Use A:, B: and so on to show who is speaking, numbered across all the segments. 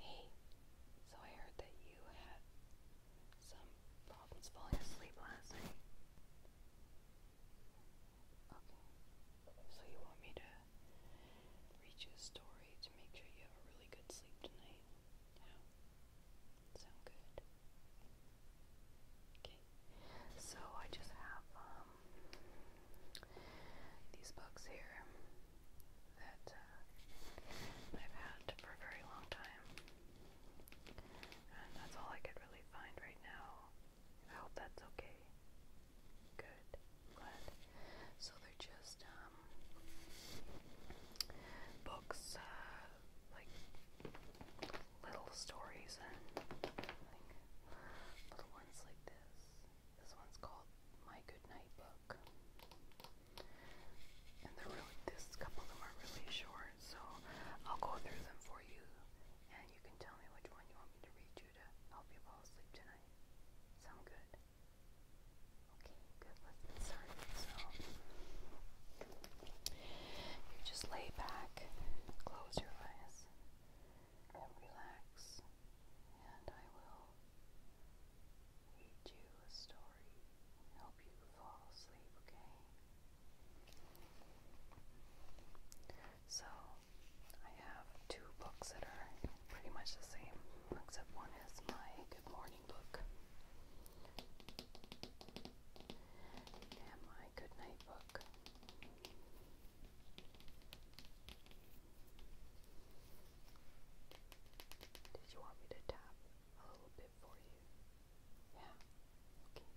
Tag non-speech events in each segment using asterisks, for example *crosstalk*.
A: Hey, so I heard that you had some problems falling asleep last night. Okay, so you want me to read you a story to make sure you have a really good sleep tonight? Yeah. Sound good? Okay, so I just have um, these books here that uh, I've had for a very long time. And that's all I could really find right now. I hope that's okay. Good. I'm glad. So they're just um, books, uh, like little stories and like, little ones like this. This one's called My Goodnight Book. And they this couple of are really short, so I'll go through them for you and you can tell me which one you want me to read you to help you fall asleep tonight. Sound good? Okay, good. let So, you just lay back, close your eyes, and relax, and I will read you a story help you fall asleep, okay? So, I have two books that are pretty much the same, except one is my Good Morning book and my Good Night book. Did you want me to tap a little bit for you? Yeah. Okay.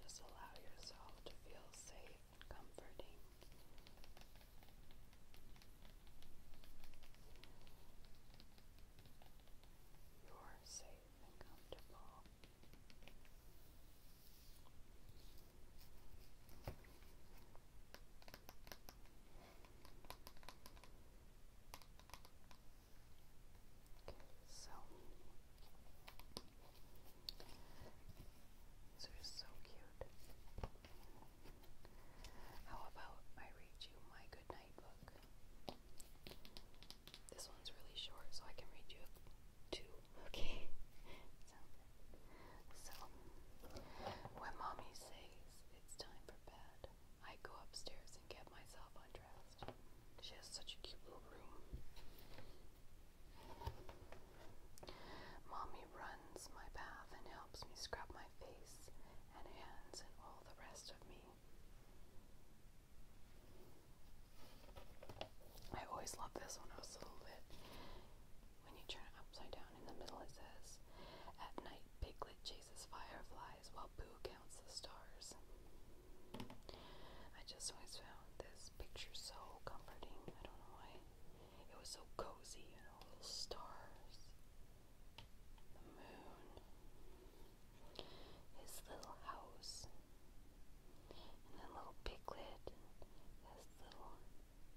A: Just allow yourself to feel safe comforting. You're safe and comfortable. Okay, so these are so cute. How about I read you my good book? This one's really short, so I can read you two. Okay. *laughs* so, when mommy says it's time for bed, I go upstairs and get myself undressed. She has such a cute little room. Mommy runs my bath and helps me scrub my face and hands and all the rest of me. I always loved this one. I was a little bit. When you turn it upside down in the middle, it says, At night, Piglet chases fireflies while Boo counts the stars. I just always found this picture so comforting. I don't know why. It was so cozy, and all the stars, the moon, his little house, and then little piglet, his little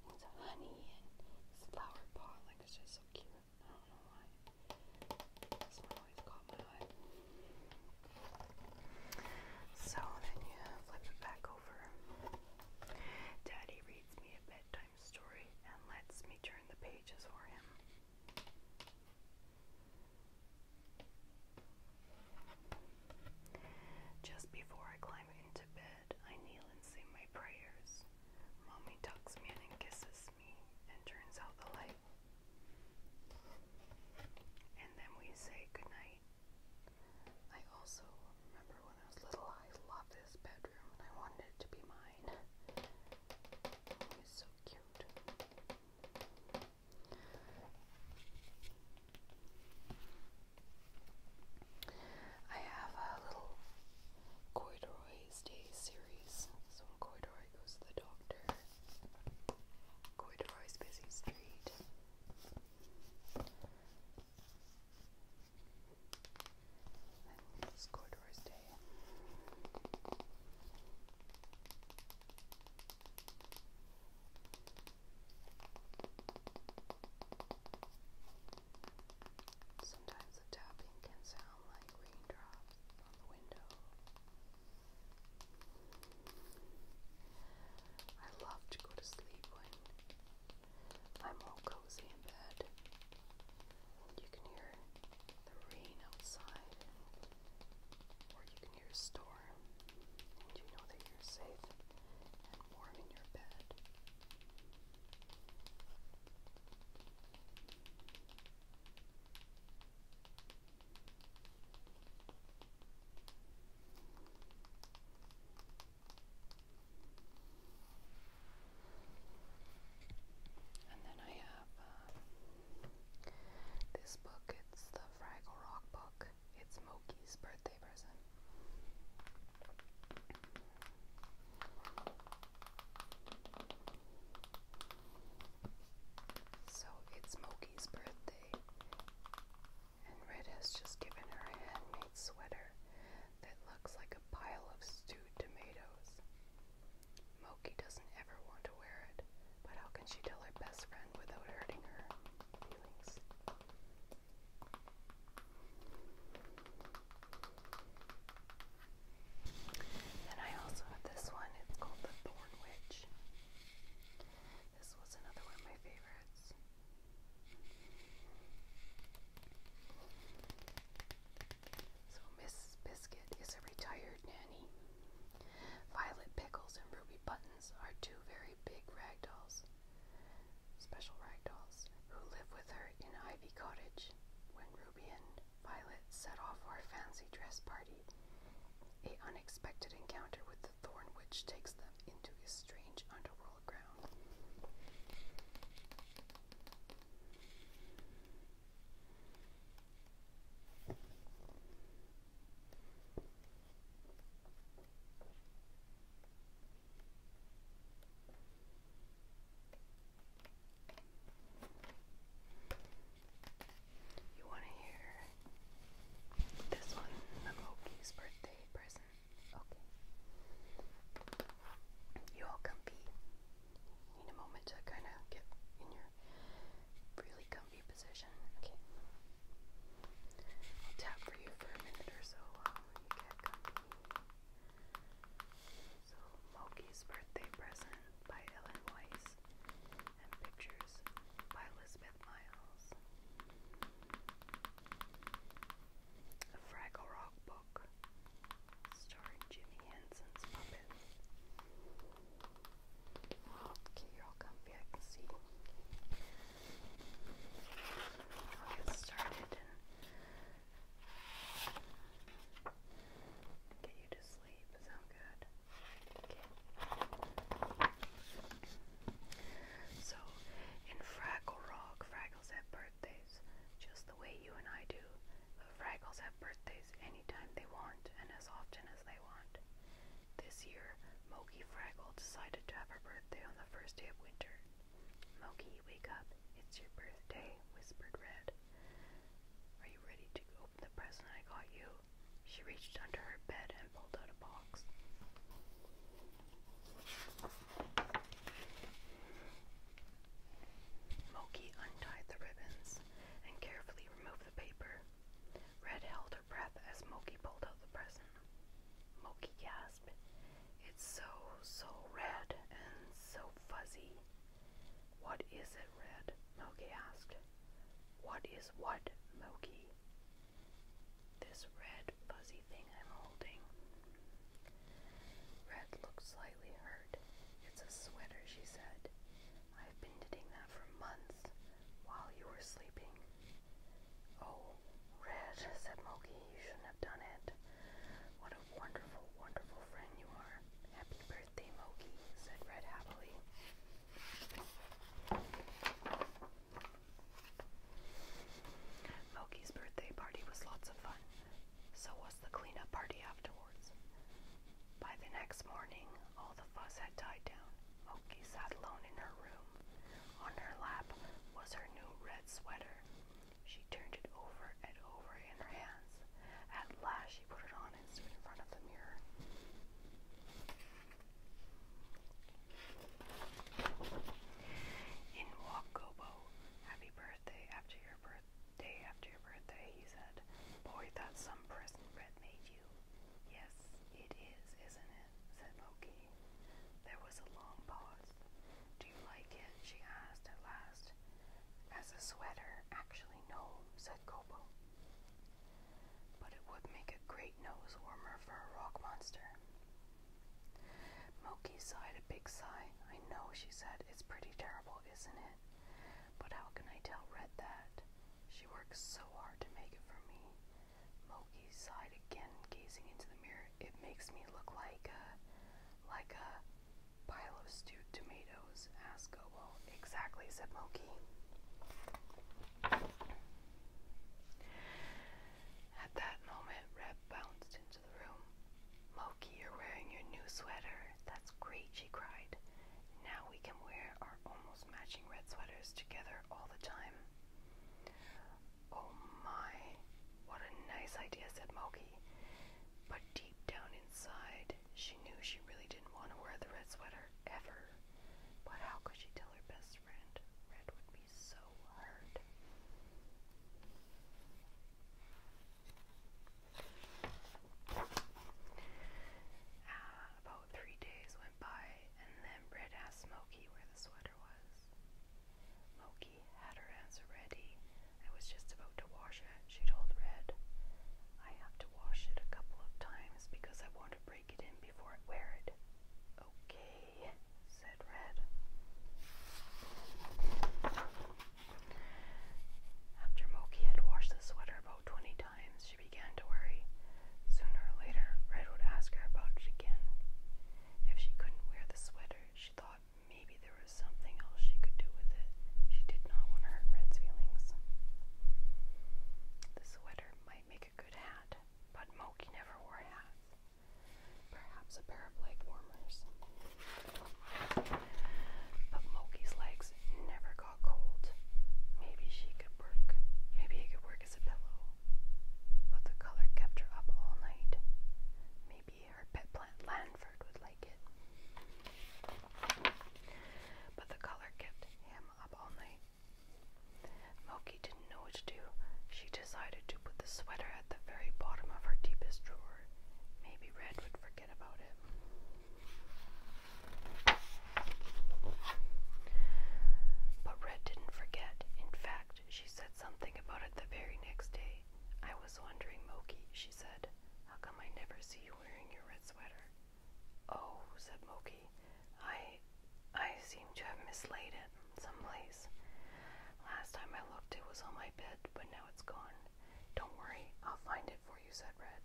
A: things honey, and his flower pot. Like, it's just so cute. I don't know why. This one always caught my eye. So then you flip it back over. Daddy reads me a bedtime story and lets me turn the pages for him. Just before I climb into bed, I kneel and say my prayers. Mommy tucks me in and kisses me and turns out the light. And then we say goodnight. I also remember when I was little, I loved this bedroom and I wanted it to be mine. It so cute. I have a little Corduroy's Day series. So when Corduroy goes to the doctor, Corduroy's Busy Street. Sometimes the tapping can sound like raindrops on the window. I love to go to sleep when I'm all cozy in bed. you can hear the rain outside, or you can hear a storm, and you know that you're safe and warm in your bed. And then I have uh, this book. It's the Fraggle Rock book. It's Moki's birthday present. So it's Moki's birthday, and Red has just given her a handmade sweater that looks like a pile of stewed tomatoes. Moki doesn't ever want to wear it, but how can she tell her best friend without hurting her feelings? Then I also have this one, it's called The Thorn Witch. This was another one of my favorites. So Mrs. Biscuit is a retired nanny. Violet Pickles and Ruby Buttons are two very big rag dolls, special rag dolls who live with her in Ivy Cottage. When Ruby and Violet set off for a fancy dress party, a unexpected encounter with the Thorn Witch takes them into a strange underworld ground. You want to hear this one, Momoki's birthday present. Okay. You all comfy. Need a moment to kind of get in your really comfy position. Okay. I'll tap for you for a minute or so while you get comfy. So, Moki's birthday present by Ellen Weiss and pictures by Elizabeth with A Fraggle Rock book starring Jimmy Henson's puppet. Okay, you're all comfy, I can see. I'll get started get you to sleep. Sound good? So, in Fraggle Rock, Fraggles have birthdays, just the way you and I do. But Fraggles have birthdays anytime they want and as often as they want. This year, Moki Fraggle decided to have her birthday on the first day of winter. Moki, wake up. It's your birthday, whispered Red. Are you ready to open the present I got you? She reached under her bed and pulled out a box. Moki untied the ribbons and carefully removed the paper. Red held her breath as Moki pulled out the present. Moki gasped. It's so, so red and so fuzzy. What is it, Red? Moki asked. What is what, Moki? This red fuzzy thing I'm holding. Red looks slightly hurt. It's a sweater, she said. I've been knitting that for months while you were sleeping. Oh, Red, *laughs* said Moki, you shouldn't have done it. What a wonderful, wonderful friend you are. Happy birthday, Moki, said Red happily. Moki's birthday party was lots of fun. So was the cleanup party afterwards. By the next morning, all the fuss had died down. Moki sat alone in her room. On her lap was her new red sweater. She turned it over and over in her hands. At last, she put it on and stood in front of the mirror. In Wakobo, happy birthday after your birthday after your birthday, he said. Boy, that's some present Red made you. Yes, it is, isn't it? said Loki. There was a long pause. Do you like it? she asked at last. As a sweater, actually, no, said Kobo but it would make a great nose warmer for a rock monster. Moki sighed a big sigh. I know, she said. It's pretty terrible, isn't it? But how can I tell Red that? She works so hard to make it for me. Moki sighed again, gazing into the mirror. It makes me look like a, like a pile of stewed tomatoes, asked Gobo. Exactly, said Moki. At that moment, Reb bounced into the room. Moki, you're wearing your new sweater. That's great, she cried. Now we can wear our almost matching red sweaters together all the time. Oh my, what a nice idea, said Moki. But deep down inside, she knew she really didn't want to wear the red sweater ever. But how could she tell uh, about three days went by, and then Red asked Smokey where the sweater was. Smokey had her answer ready. I was just about to wash it, she told Red. I have to wash it a couple of times because I want to break it in before I wear it. Okay, said Red. After Moki had washed the sweater about twenty times, she began to worry. Sooner or later, Red would ask her about it again. If she couldn't wear the sweater, she thought maybe there was something else she could do with it. She did not want to hurt Red's feelings. The sweater might make a good hat, but Moki never wore hats. Perhaps a pair of leg warmers. But Moki's legs never got cold. Maybe she could work. Maybe it could work as a pillow. But the color kept her up all night. Maybe her pet plant Lanford would like it. But the color kept him up all night. Moki didn't know what to do. She decided to put the sweater at the very bottom of her deepest drawer. Maybe Red would forget about it. But Red didn't forget. In fact, she said something about it the very next day. I was wondering, Moki, she said, how come I never see you wearing your red sweater? Oh, said Moki, I I seem to have mislaid it someplace. Last time I looked it was on my bed, but now it's gone. Don't worry, I'll find it for you, said Red.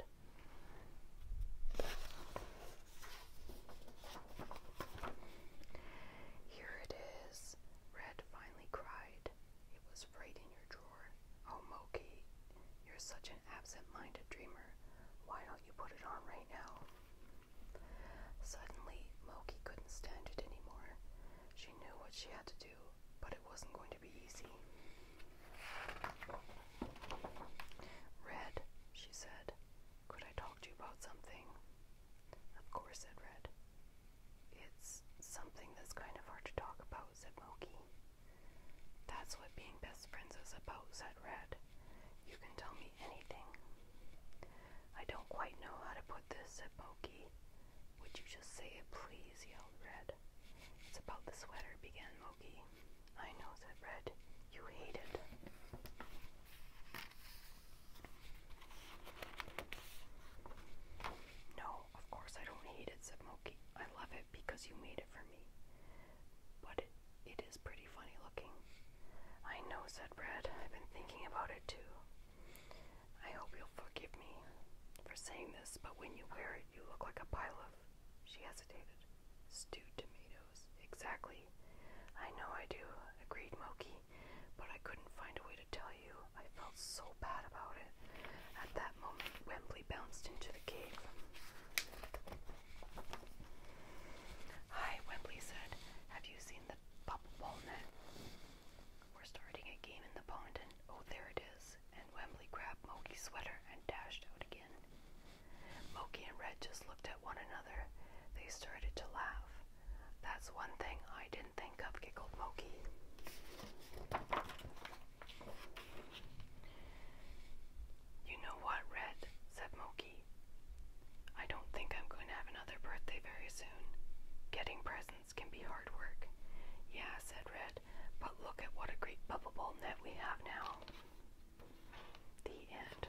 A: Here it is, Red finally cried. It was right in your drawer. Oh, Moki, you're such an absent minded dreamer. Why don't you?" you put it on right now. Suddenly, Moki couldn't stand it anymore. She knew what she had to do, but it wasn't going to be easy. Red, she said, could I talk to you about something? Of course, said Red. It's something that's kind of hard to talk about, said Moki. That's what being best friends is about, said Red. You can tell me anything. I don't quite know how to put this, said Moki. Would you just say it, please? yelled Red. It's about the sweater, began Moki. I know, said Red. You hate it. No, of course I don't hate it, said Moki. I love it because you made it for me. But it, it is pretty funny looking. I know, said Brad. I've been thinking about it too. I hope you'll forgive me for saying this, but when you wear it, you look like a pile of. She hesitated. Stewed tomatoes. Exactly. I know I do, agreed Moki, but I couldn't find a way to tell you. I felt so bad about it. At that moment, Wembley bounced into the cave. Hi, Webley said. Have you seen the Pop Walnut? We're starting a game in the pond, and oh, there it is. And Wembley grabbed Moki's sweater and dashed out again. Moki and Red just looked at one another. They started to laugh. That's one thing I didn't think of, giggled Moki. You know what, Red? said Moki. I don't think I'm going to have another birthday very soon. Getting presents can be hard work. Yeah, said Red, but look at what a great bubble ball net we have now. The end.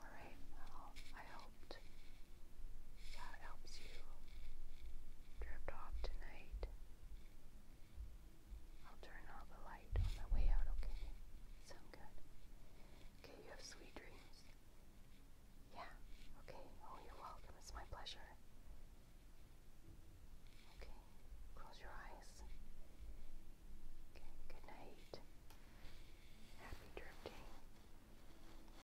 A: Alright, I hope. That helps you drift off tonight. I'll turn off the light on my way out, okay? Sound good? Okay, you have sweet dreams. Yeah, okay. Oh, you're welcome. It's my pleasure. Okay, close your eyes. Okay, good night. Happy drifting.